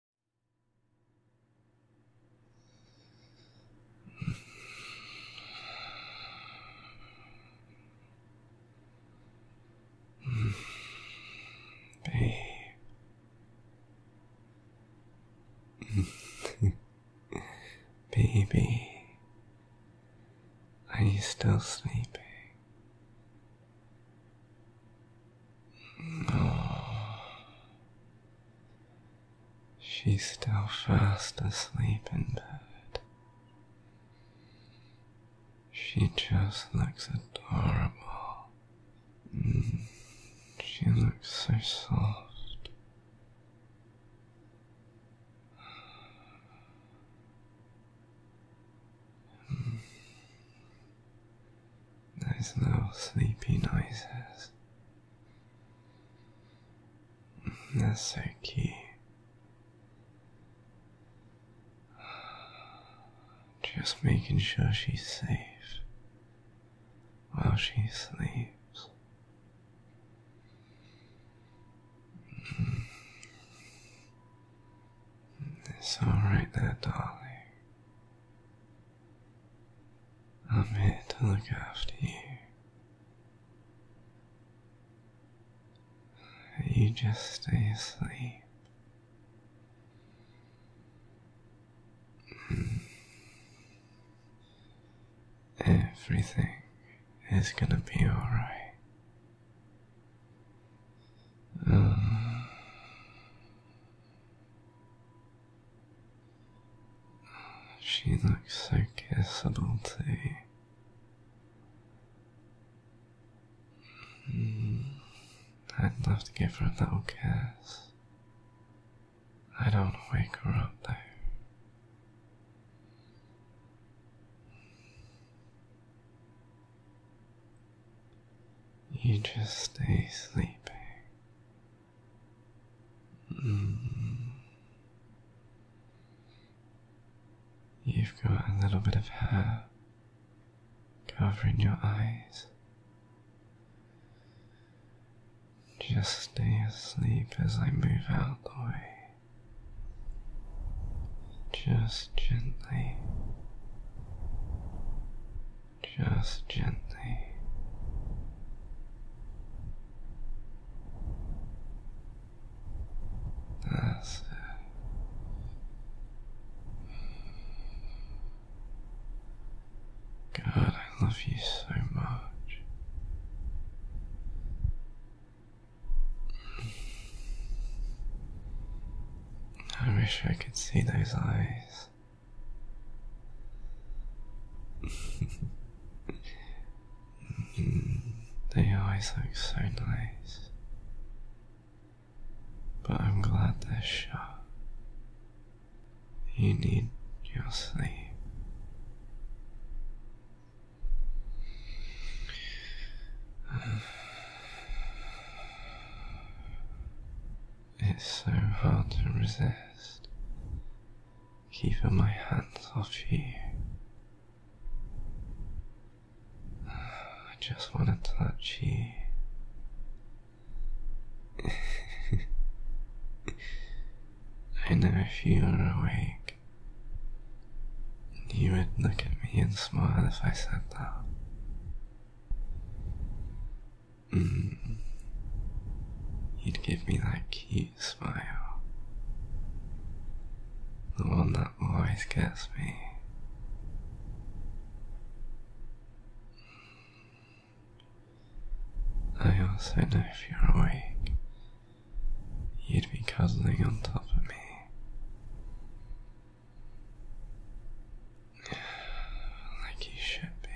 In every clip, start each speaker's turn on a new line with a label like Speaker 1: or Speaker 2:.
Speaker 1: Baby, are you still sleeping? She's still fast asleep in bed. She just looks adorable. Mm. She looks so soft. Mm. Those little sleepy noises. That's so cute. Just making sure she's safe while she sleeps. It's alright there, darling. I'm here to look after you. You just stay asleep. Hmm. Everything is gonna be alright. Um, she looks so kissable too. Hmm, I'd love to give her a little kiss. I don't wake her up though. You just stay sleeping. Mm. You've got a little bit of hair covering your eyes. Just stay asleep as I move out the way. Just just gently, just gently. That's God, I love you so much. I wish I could see those eyes. they always look so nice. But I'm glad they're shut. You need your sleep. It's so hard to resist Keep my hands off you. I just want to touch you. I know if you are awake, you would look at me and smile if I said that. Mm. You'd give me that cute smile. The one that always gets me. I also know if you're awake, you'd be cuddling on top of me like he should be.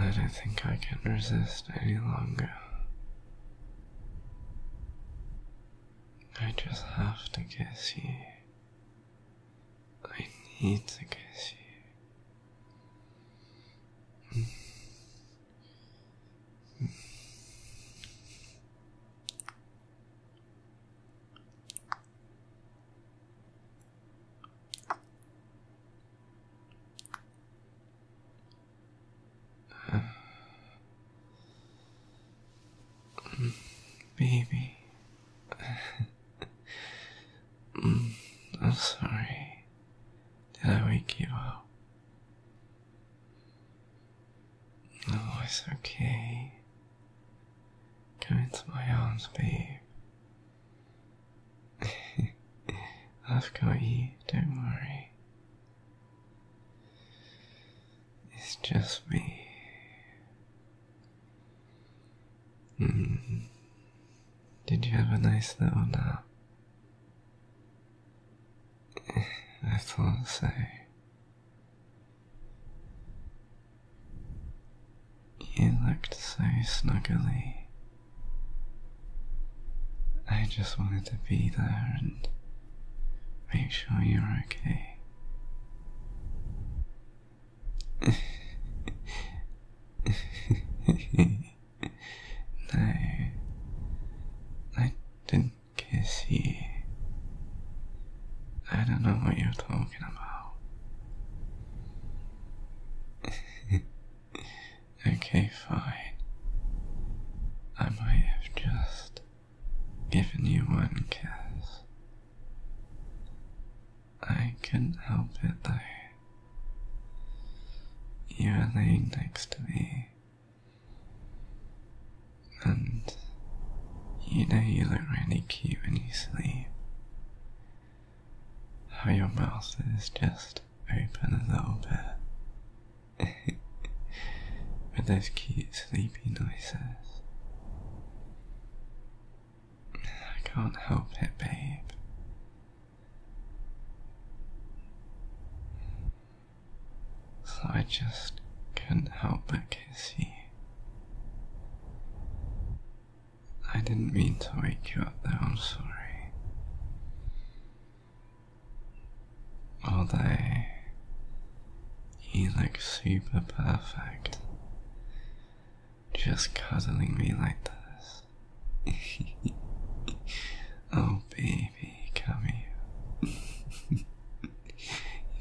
Speaker 1: I don't think I can resist any longer. I just have to kiss you. I need to kiss you. Baby, I'm sorry. Did I wake you up? Oh, it's okay. Come into my arms, babe. I've got you, don't worry. It's just me. Mm-hmm. Did you have a nice little nap? I thought so. You looked so snuggly. I just wanted to be there and make sure you're okay. No, I didn't kiss you. I don't know what you're talking about. okay, fine. I might have just given you one kiss. I couldn't help it though. You are laying next to me. And you know you look really cute when you sleep. How your mouth is just open a little bit. With those cute sleepy noises. I can't help it, babe. So I just couldn't help but kiss you. I didn't mean to wake you up though, I'm sorry. All day, you look super perfect. Just cuddling me like this. oh, baby, come here.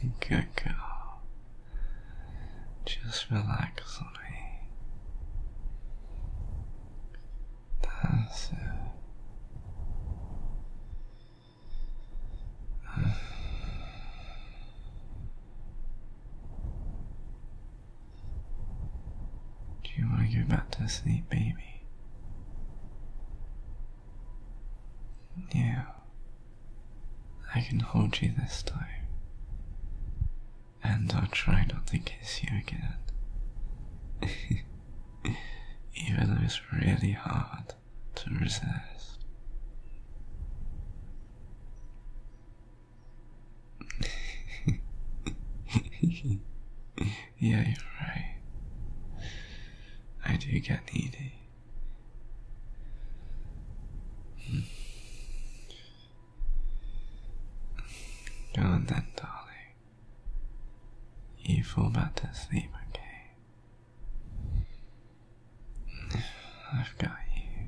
Speaker 1: Good girl. Just relax on me. That's it. Do you want to go back to sleep, baby? Yeah, I can hold you this time. And I'll try not to kiss you again. Even though it's really hard to resist. yeah, you're right. I do get needy. Hmm. Go on then, darling. You fall back to sleep, okay? I've you.